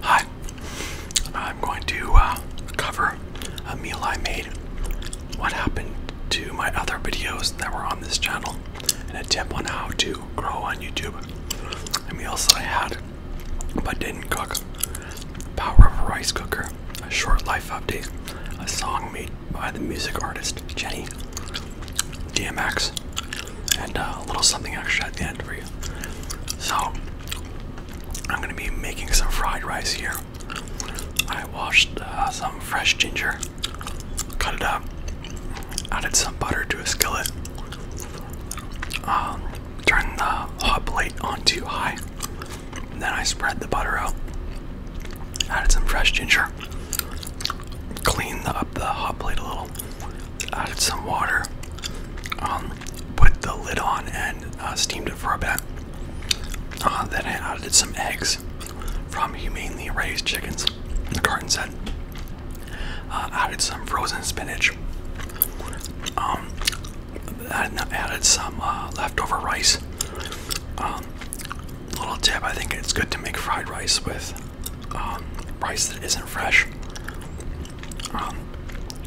Hi, I'm going to uh, cover a meal I made. What happened to my other videos that were on this channel? An attempt on how to grow on YouTube. The meals that I had but didn't cook. Power of a rice cooker. A short life update. A song made by the music artist Jenny. DMX and uh, a little something extra at the end for you. So, I'm gonna be making some fried rice here. I washed uh, some fresh ginger, cut it up, added some butter to a skillet, um, turned the hot plate on too high, then I spread the butter out, added some fresh ginger, cleaned up the hot plate a little, added some water, um, put the lid on, and uh, steamed it for a bit. Uh, then I added some eggs from humanely raised chickens, the carton said. Uh, added some frozen spinach. Um, added some leftover rice. Um, little tip: I think it's good to make fried rice with rice that isn't fresh. Um,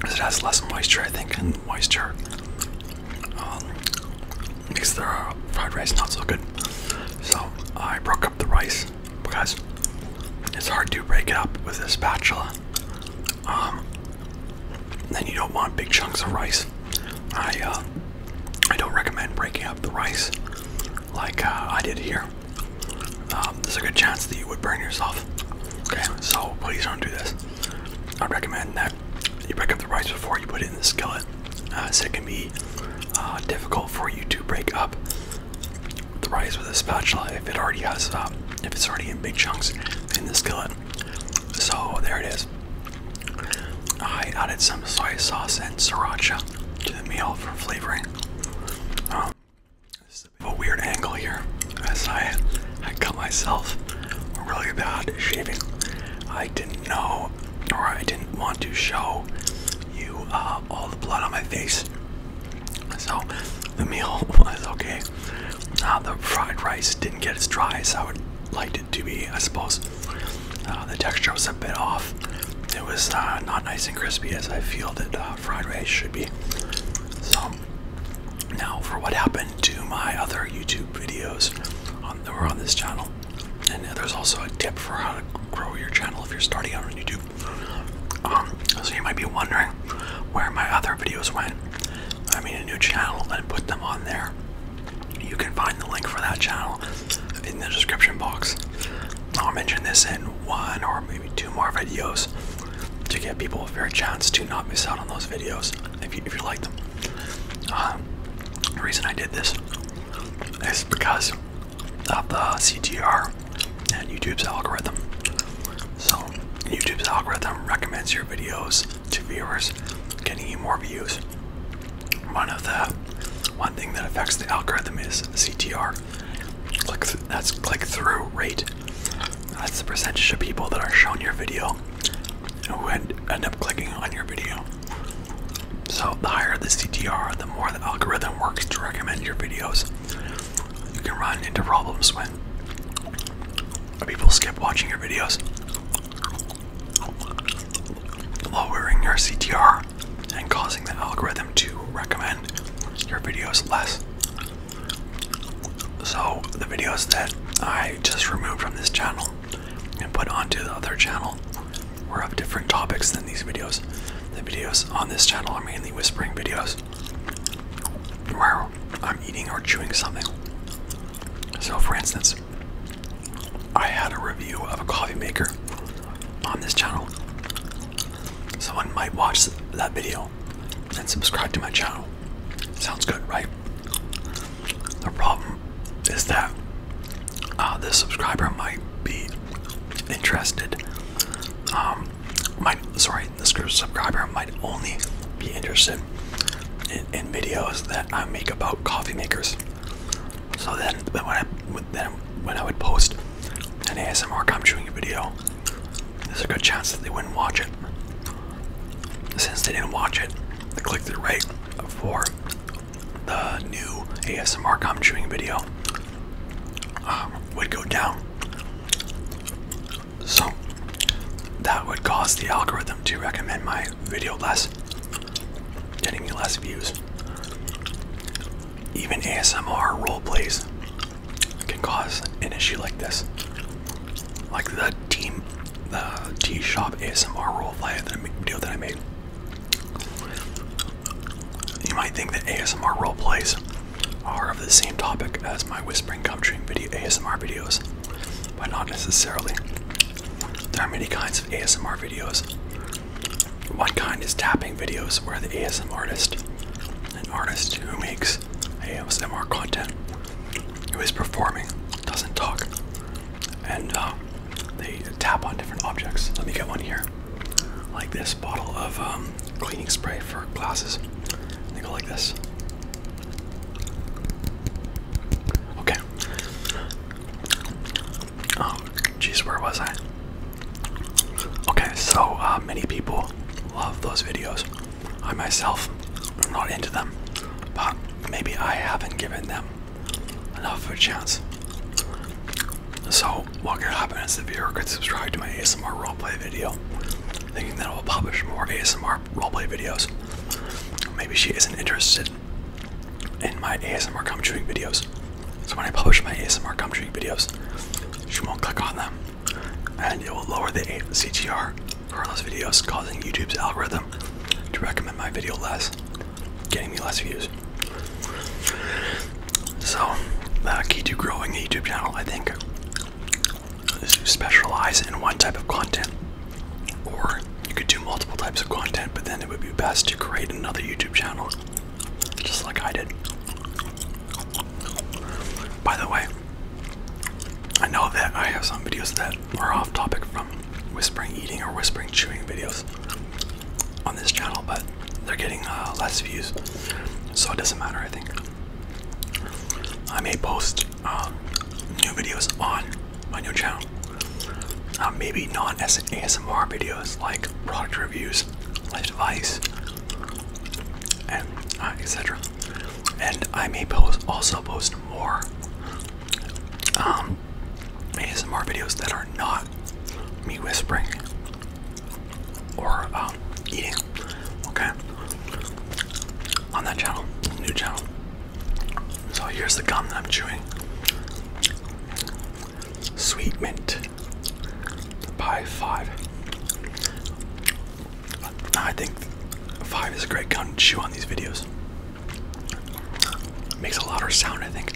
it has less moisture, I think, and moisture because um, makes the fried rice not so good. So I broke up the rice because it's hard to break it up with a spatula. Um, then you don't want big chunks of rice. I uh, I don't recommend breaking up the rice like uh, I did here. Um, there's a good chance that you would burn yourself. Okay, so please don't do this. I recommend that you break up the rice before you put it in the skillet, uh, so it can be uh, difficult for you to break up the rice with a spatula if it already has, uh, if it's already in big chunks in the skillet. So there it is. I added some soy sauce and sriracha to the meal for flavoring. Um, a, weird angle here, as I I cut myself really bad shaving. I didn't know, or I didn't want to show you uh, all the blood on my face. So the meal was okay. Uh, the fried rice didn't get as dry as I would like it to be, I suppose. Uh, the texture was a bit off. It was uh, not nice and crispy as I feel that fried rice should be. So now for what happened to my other YouTube videos on that were on this channel, and there's also a tip for how to grow your channel if you're starting out on YouTube. Um, so you might be wondering where my other videos went. I made a new channel and put them on there. You can find the link for that channel in the description box. I'll mention this in one or maybe two more videos to give people a fair chance to not miss out on those videos if you, if you like them. Um, the reason I did this is because of the CTR and YouTube's algorithm. So YouTube's algorithm recommends your videos to viewers, getting you more views. One of the one thing that affects the algorithm is the CTR click that's click through rate. That's the percentage of people that are shown your video who end, end up clicking on your video. So the higher the CTR, the more the algorithm works to recommend your videos. You can run into problems when people skip watching your videos. Lowering your CTR and causing the algorithm to recommend your videos less. So the videos that I just removed from this channel and put onto the other channel were of different topics than these videos. The videos on this channel are mainly whispering videos where I'm eating or chewing something. So for instance, I had a review of a coffee maker on this channel someone might watch that video and subscribe to my channel. Sounds good, right? The problem is that uh, the subscriber might be interested. Um, might sorry, the subscriber might only be interested in, videos that I make about coffee makers. So then, when I then when I would post an ASMR come chewing video, there's a good chance that they wouldn't watch it. Since they didn't watch it, the click through rate for the new ASMR gum chewing video um, would go down. So that would cause the algorithm to recommend my video less, getting me less views. Even ASMR role plays can cause an issue like this. Like the team, the T shop ASMR role that I, that I made. You might think that ASMR role plays are of the same topic as my whispering gumdream video ASMR videos, but not necessarily. There are many kinds of ASMR videos. One kind is tapping videos where the ASMR artist an artist who makes ASMR content, who is performing, doesn't talk, and uh, they tap on different objects. Let me get one here, like this bottle of um, cleaning spray for glasses. They go like this. Okay. Um, oh, geez, where was I? Okay, so uh, many people love those videos. I myself am not into them, but maybe I haven't given them enough of a chance. So what could happen is the viewer could subscribe to my ASMR roleplay video, thinking that I will publish more ASMR roleplay videos. Maybe she isn't interested in my ASMR gum videos. So when I publish my ASMR gum videos, she won't click on them and it will lower the CTR for those videos, causing YouTube's algorithm to recommend my video less, getting me less views. So, the uh, key to growing a YouTube channel, I think, is to specialize in one type of content. Or you could do multiple types of content, but then it would be best to create another YouTube channel, just like I did. By the way, I know that I have some videos that are off topic from whispering eating or whispering chewing videos on this channel, but they're getting uh, less views, so it doesn't matter, I think. I may post um, new videos on my new channel. Uh, maybe non-ASMR videos like product reviews, life advice, and uh, etc. And I may post also post more um, ASMR videos that are not me whispering or um, eating. Okay, on that channel, new channel. So here's the gum that I'm chewing. Sweet mint by five. I think five is a great count to chew on these videos. makes a louder sound, I think.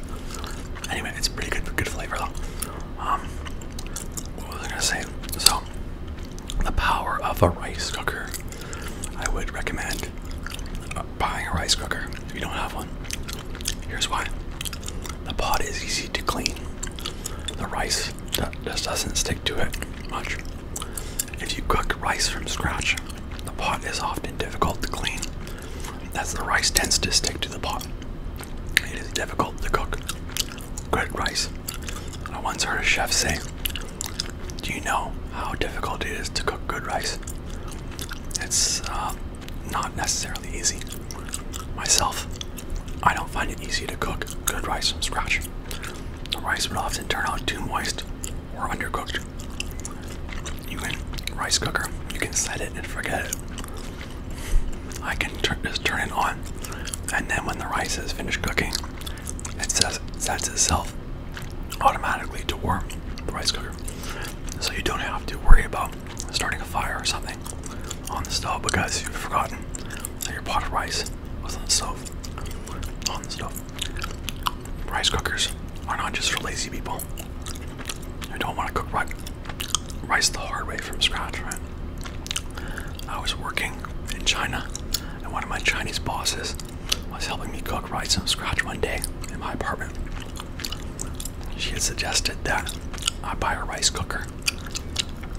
Anyway, it's pretty good, good flavor though. Um, what was I gonna say? So, the power of a rice cooker. I would recommend uh, buying a rice cooker if you don't have one. Here's why. The pot is easy to clean. The rice just doesn't stick to it much. If you cook rice from scratch, the pot is often difficult to clean as the rice tends to stick to the pot. It is difficult to cook good rice. I once heard a chef say, Do you know how difficult it is to cook good rice? It's uh, not necessarily easy. Myself, I don't find it easy to cook good rice from scratch. The rice would often turn out too moist or undercooked. You can rice cooker, you can set it and forget it. I can just turn it on, and then when the rice is finished cooking, it says, sets itself automatically to warm the rice cooker, so you don't have to worry about starting a fire or something on the stove because you've forgotten that your pot of rice was on the stove. On the stove. Rice cookers are not just for lazy people who don't want to cook rice the hard way from scratch, right? I was working in China and one of my Chinese bosses was helping me cook rice from scratch one day in my apartment. She had suggested that I buy a rice cooker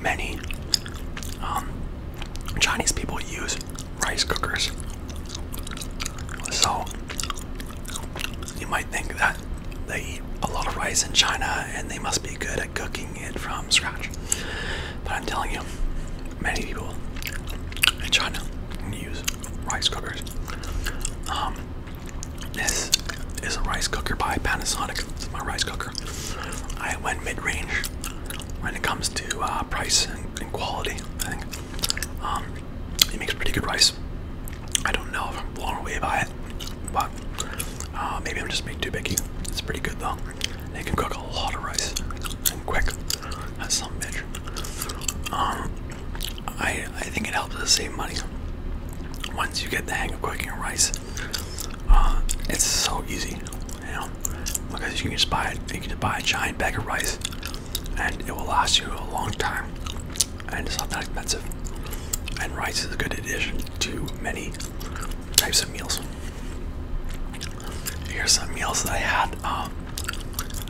many um, Chinese people use rice cookers. So you might think that they eat a lot of rice in China and they must be good at cooking it from scratch. But I'm telling you, many people in China use rice cookers. Um, this is a rice cooker by Panasonic. my rice cooker. I went mid-range when it comes to uh, price and, quality. I think um, it makes pretty good rice. I don't know if I'm blown away by it, but uh, maybe I'm just being too picky. It's pretty good though. They can cook a lot of rice and quick. That's some bitch. Um, I I think it helps to save money. Once you get the hang of cooking rice, uh, it's so easy, you know. Because you can just buy it. You can buy a giant bag of rice, and it will last you a long time, and it's not that expensive. And rice is a good addition to many types of meals. Here's some meals that I had um,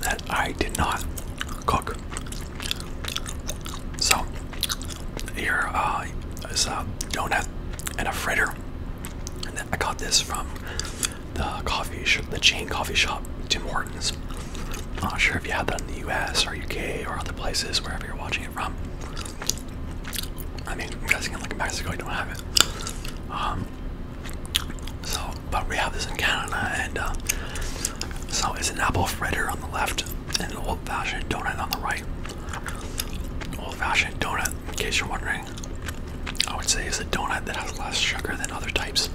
that I did not cook. So here uh, is a donut and a fritter. And I got this from the coffee shop, the chain coffee shop, Tim Hortons. I'm not sure if you had that in the U.S. or U.K. or other places, wherever you're watching it from. I mean, I'm guessing in like Mexico, you don't have it. Um, so, but we have this in Canada, and uh, so it's an apple fritter on the left, and an old fashioned donut on the right. Old fashioned donut, in case you're wondering, I would say it's a donut that has less sugar than other types.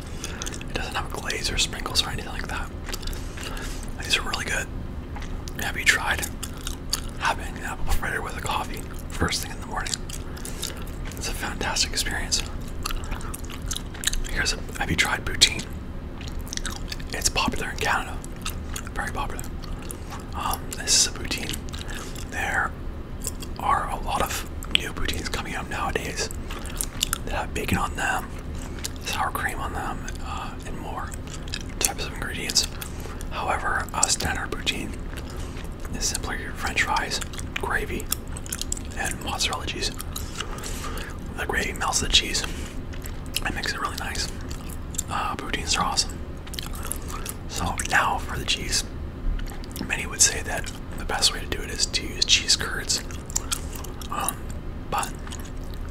It doesn't have glaze or sprinkles or anything like that. These are really good. Have you tried having an apple fritter with a coffee first thing in the morning? It's a fantastic experience. Here's a, have you tried poutine? It's popular in Canada. Very popular. Um, this is a poutine. There are a lot of new poutines coming out nowadays They have bacon on them, sour cream on them, uh, and more types of ingredients. However, a standard poutine is simply french fries, gravy, and mozzarella cheese. The gravy melts the cheese and makes it really nice. Uh, are awesome. So now for the cheese. Many would say that the best way to do it is to use cheese curds, um, but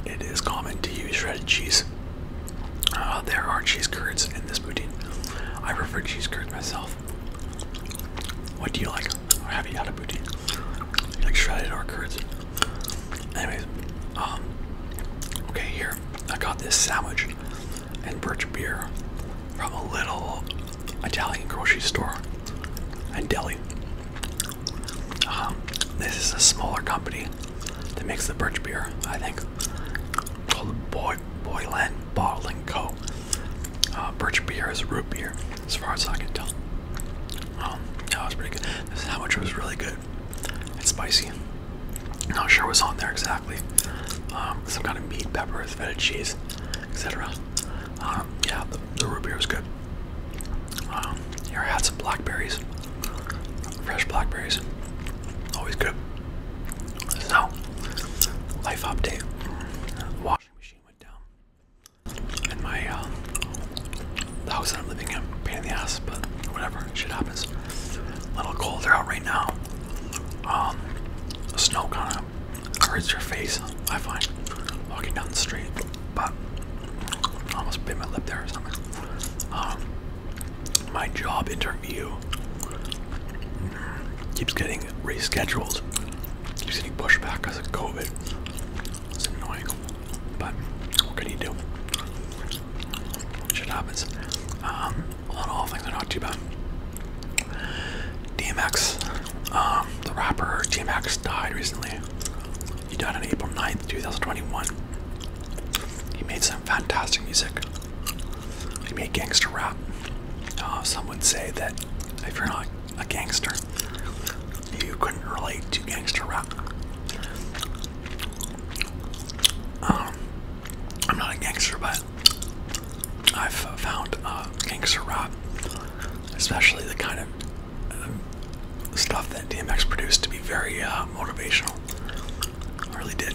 it is common to use shredded cheese. Uh, there are cheese curds in this poutine. I prefer cheese curds myself. What do you like? Or have you had a poutine? like shredded or curds? Anyways, um, okay, here I got this sandwich and birch beer from a little Italian grocery store in Delhi. Um, this is a smaller company that makes the birch beer, I think, called Boy Boyland Bottling Co. Uh, birch beer is root beer, as far as I can tell. Um, that was pretty good. This sandwich was really good. It's spicy. Not sure what's on there exactly. Um, some kind of meat, pepper, feta cheese, etc. Um, yeah, the, root beer was good. Um, here I had some blackberries, fresh blackberries, always good. So, life update. Washing machine went down, and my uh, the house that I'm living in, pain in the ass, but whatever. Shit happens. little colder out right now. Um, snow kind of hurts your face. I find walking down the street, but I almost bit my lip there or something. Um, my job interview keeps getting rescheduled. Keeps getting pushed back because of COVID. It's annoying, but what can you do? Shit happens. Um, a lot of all things are not too bad. DMX, um, the rapper DMX died recently. He died on April 9th, 2021. He made some fantastic music. He made gangster rap. Uh, some would say that if you're not a gangster, you couldn't relate to gangster rap. Um, I'm not a gangster, but I've found uh, gangster rap, especially the kind of um, stuff that DMX produced, to be very uh, motivational. I really did.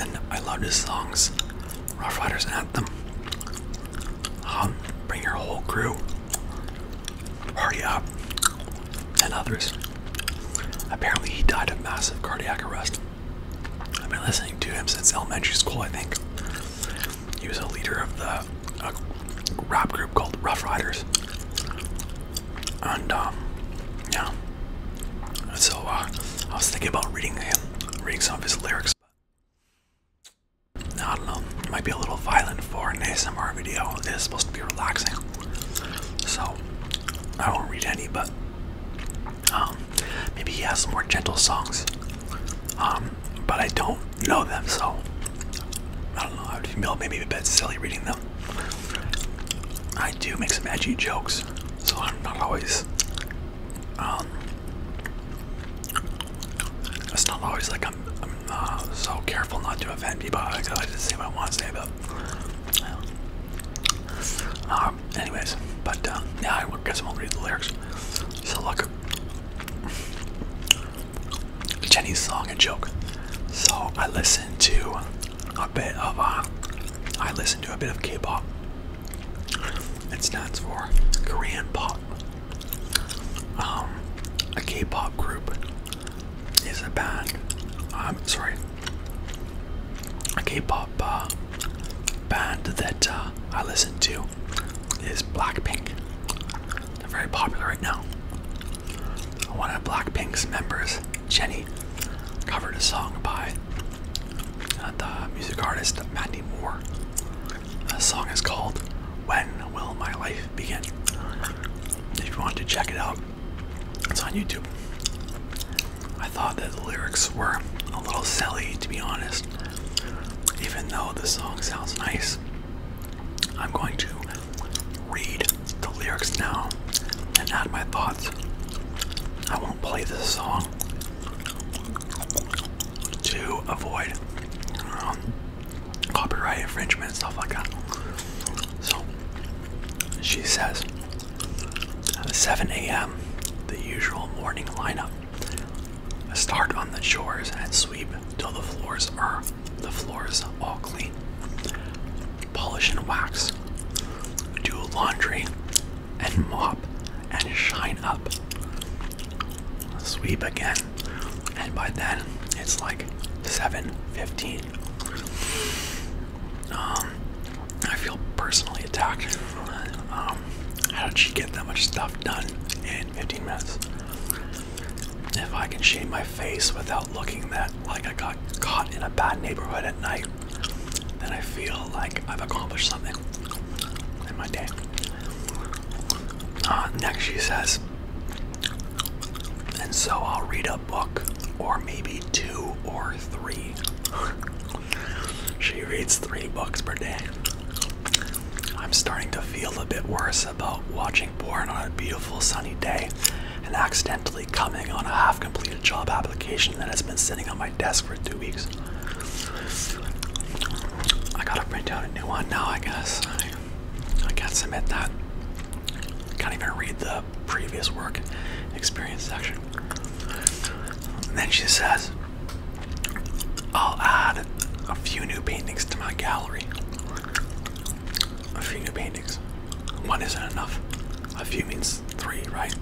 And I loved his songs, Rough Riders Anthem, Bring Your Whole Crew, Party Up, and others. Apparently, he died of massive cardiac arrest. I've been listening to him since elementary school, I think. He was a leader of the rap group called Rough Riders. And, um, yeah. So, uh, I was thinking about reading him, reading some of his lyrics. I don't know, it might be a little violent for an ASMR video. It is supposed to be relaxing. So, I won't read any, but um, maybe he has some more gentle songs. Um, but I don't know them, so I don't know. I would feel maybe a bit silly reading them. I do make some edgy jokes, so I'm not always. Um, it's not always like I'm, uh, so careful not to offend people. I, I just say what I want to say, but um, anyways, but uh, yeah, I guess I won't read the lyrics. So look, Jenny's song and joke. So I listened to a bit of a. Uh, I listened to a bit of K-pop. It stands for Korean pop. Um, a K-pop group is a band. I'm sorry, a K-pop uh, band that uh, I listen to is Blackpink. They're very popular right now. One of Blackpink's members, Jennie, covered a song by uh, the music artist Mandy Moore. The song is called "When Will My Life Begin." If you want to check it out, it's on YouTube. I thought that the lyrics were a little silly, to be honest. Even though the song sounds nice, I'm going to read the lyrics now and add my thoughts. I won't play this song to avoid um, copyright infringement and stuff like that. So she says, uh, 7 a.m., the usual morning lineup. Start on the shores and sweep till the floors are the floors all clean. Polish and wax. Do laundry and mop and shine up. Sweep again, and by then it's like 7:15 um, I feel personally attacked. Um, how did she get that much stuff done in 15 minutes? If I can shave my face without looking that like I got caught in a bad neighborhood at night, then I feel like I've accomplished something in my day. Uh, next, she says, and so I'll read a book or maybe two or three. she reads three books per day. I'm starting to feel a bit worse about watching porn on a beautiful sunny day and accidentally coming on a half completed job application that has been sitting on my desk for two weeks. I gotta print out a new one now, I guess. I, I can't submit that. I can't even read the previous work experience section. then she says, I'll add a few new paintings to my gallery. A few new paintings. One isn't enough. A few means three, right?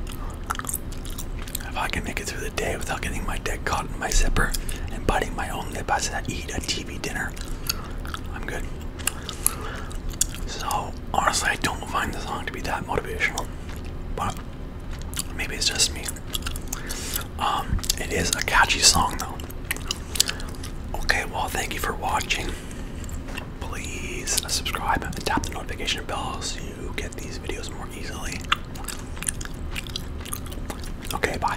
If I can make it through the day without getting my dick caught in my zipper and biting my own lip as I eat a TV dinner, I'm good. So honestly, I don't find the song to be that motivational, but maybe it's just me. Um, it is a catchy song though. Okay, well, thank you for watching. Please subscribe and tap the notification bell so you get these videos more easily. Okay, bye.